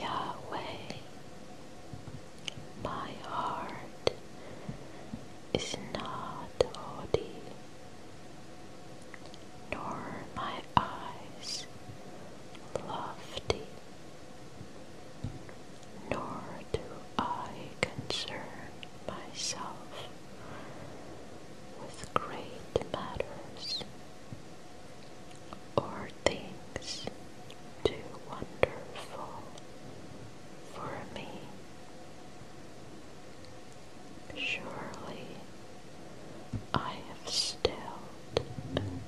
Yahweh, my heart is not haughty, nor my eyes lofty nor do I concern myself with great matters or things too wonderful for me. Surely I have still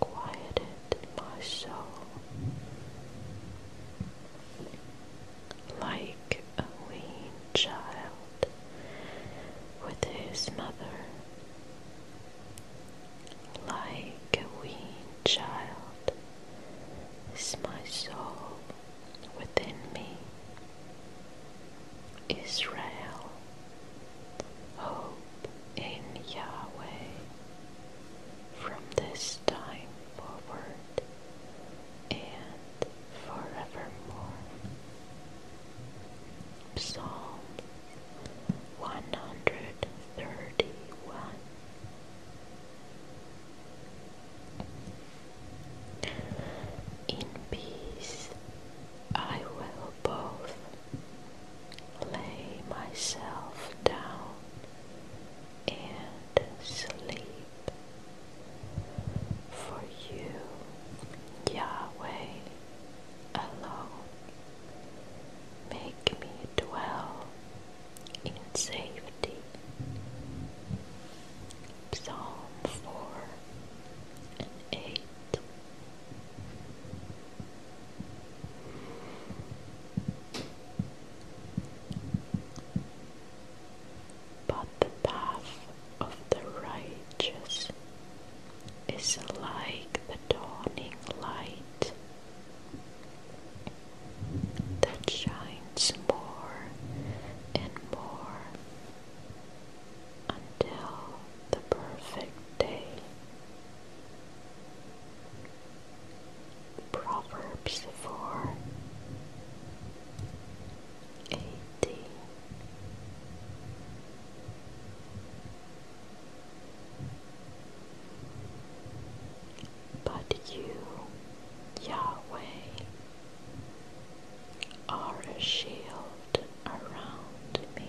quieted my soul like a weaned child with his mother, like a weaned child is my soul within me. Israel Hope in Yahweh. From this time forward and forevermore. Psalm 131 In peace I will both lay myself down and sleep. For you, Yahweh, alone, make me dwell in safety. Psalm 4 but the path of the righteous is like the dawning light that shines more and more until the perfect day. Proverbs 4 18 But you, Yahweh, are a shield around me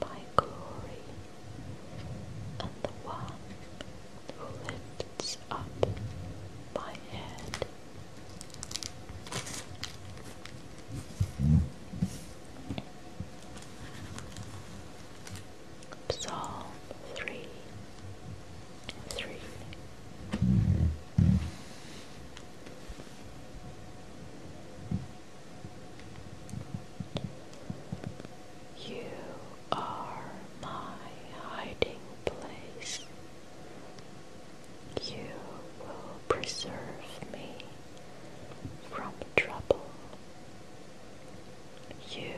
by glory, and the one who lifts up my head. Psalm 3 3 you are my hiding place. You will preserve me from trouble. You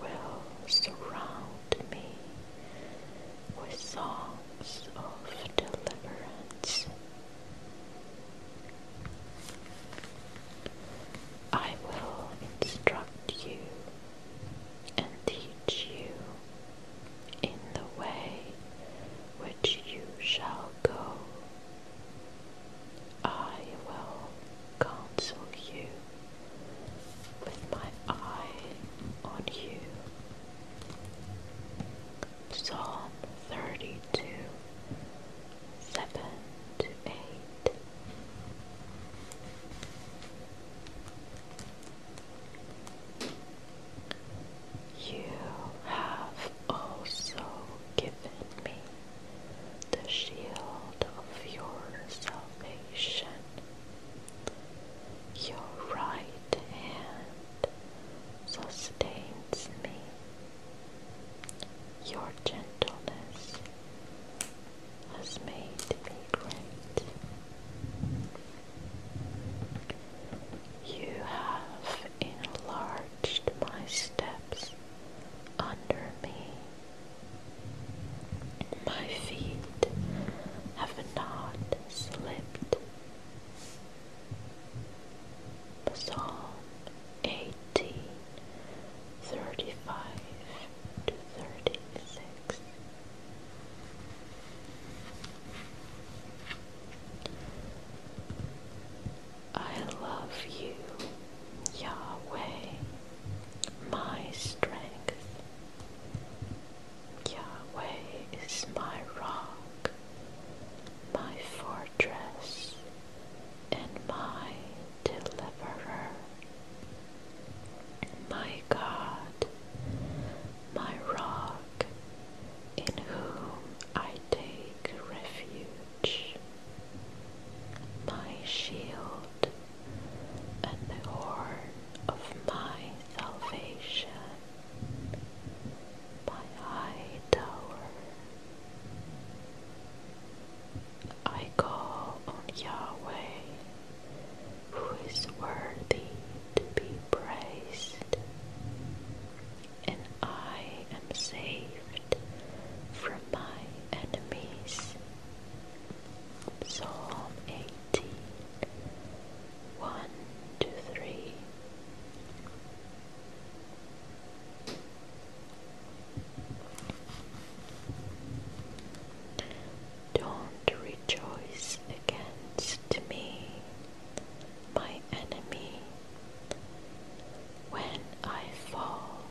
will surround me with songs of deliverance. I will instruct you and teach you in the way which you shall go. I will counsel you with my eye on you. Psalm 32 7 to 8. You have also given me the shield of your salvation. Your right hand sustains me. Your gentleness has made me great. You have enlarged my steps under me. My feet have not slipped. Psalm 18, 35 to 36. I love you, Yahweh, my strength. Yahweh is my rock, my fortress and my deliverer, my God, my rock, in whom I take refuge, my shield, and the horn of my salvation by Hightower. I call on Yahweh, who is worthy to be praised, and I am saved from my enemies. Psalm 18 1 don't rejoice against me, my enemy. When I fall,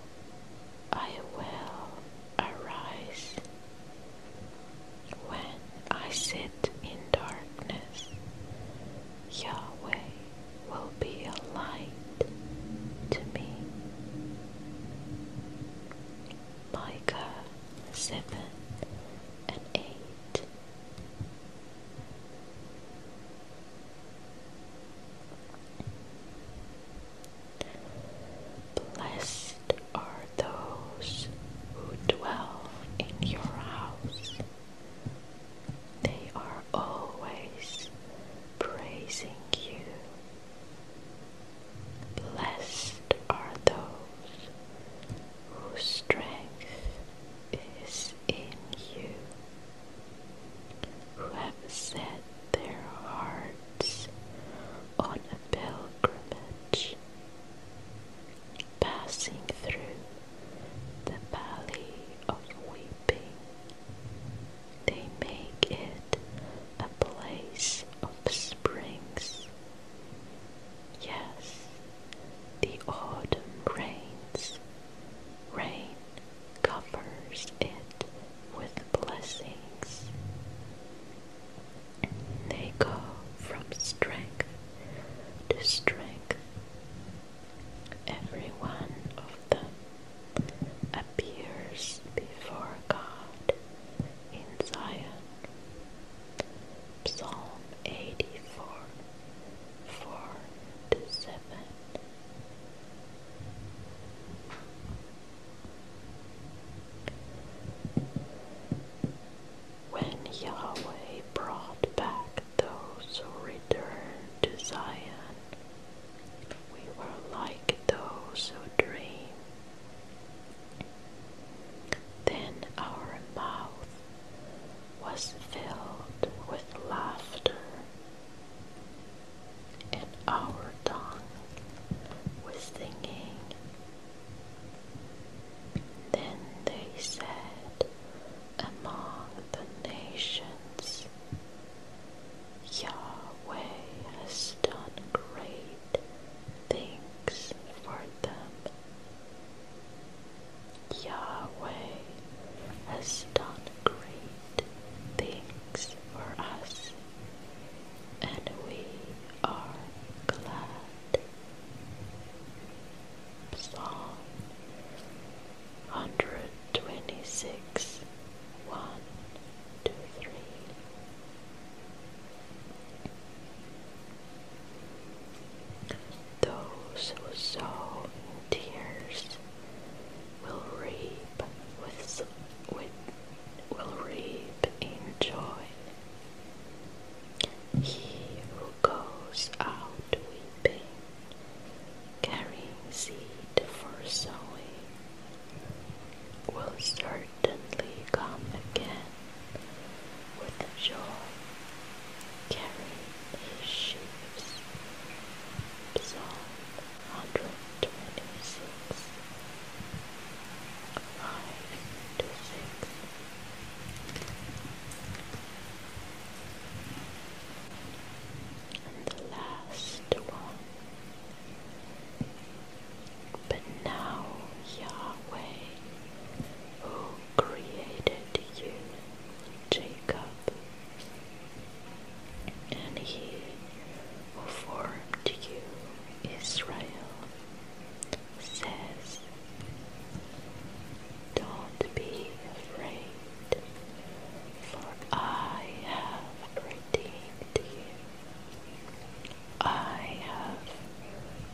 I will arise. When I sit in darkness, Yahweh will be a light to me. Micah 7 and 8. Blessed are those who dwell in your house. They are always praising you. Blessed are those whose strength is in you, who have set their hearts on a pilgrimage, passing through the valley of weeping. They make it a place of springs. Yes, the autumn rains. Rain covers it with blessings. They go from strength the strength. Every one of them appears before God in Zion. Psalm 84 4 to 7 when Yahweh brought back those who returned to Zion, we were like those who dream. Then our mouth was filled with laughter, and our tongue with singing. Then they said among the nations, Yahweh has done great things for them. Yahweh has done great things for us, and we are glad. Psalm 126 1 Those who sow in tears will reap with will reap in joy. He who goes out weeping, carrying seed for sowing, will certainly come again with joy, carrying his sheaves. Psalm 126 5 to 6 and the last one. But now, Yahweh, who created you, Jacob, and he who formed you, Israel, says, Don't be afraid, for I have redeemed you. I have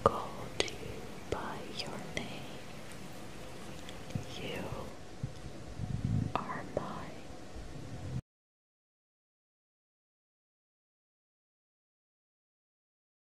called you by your name. You are mine.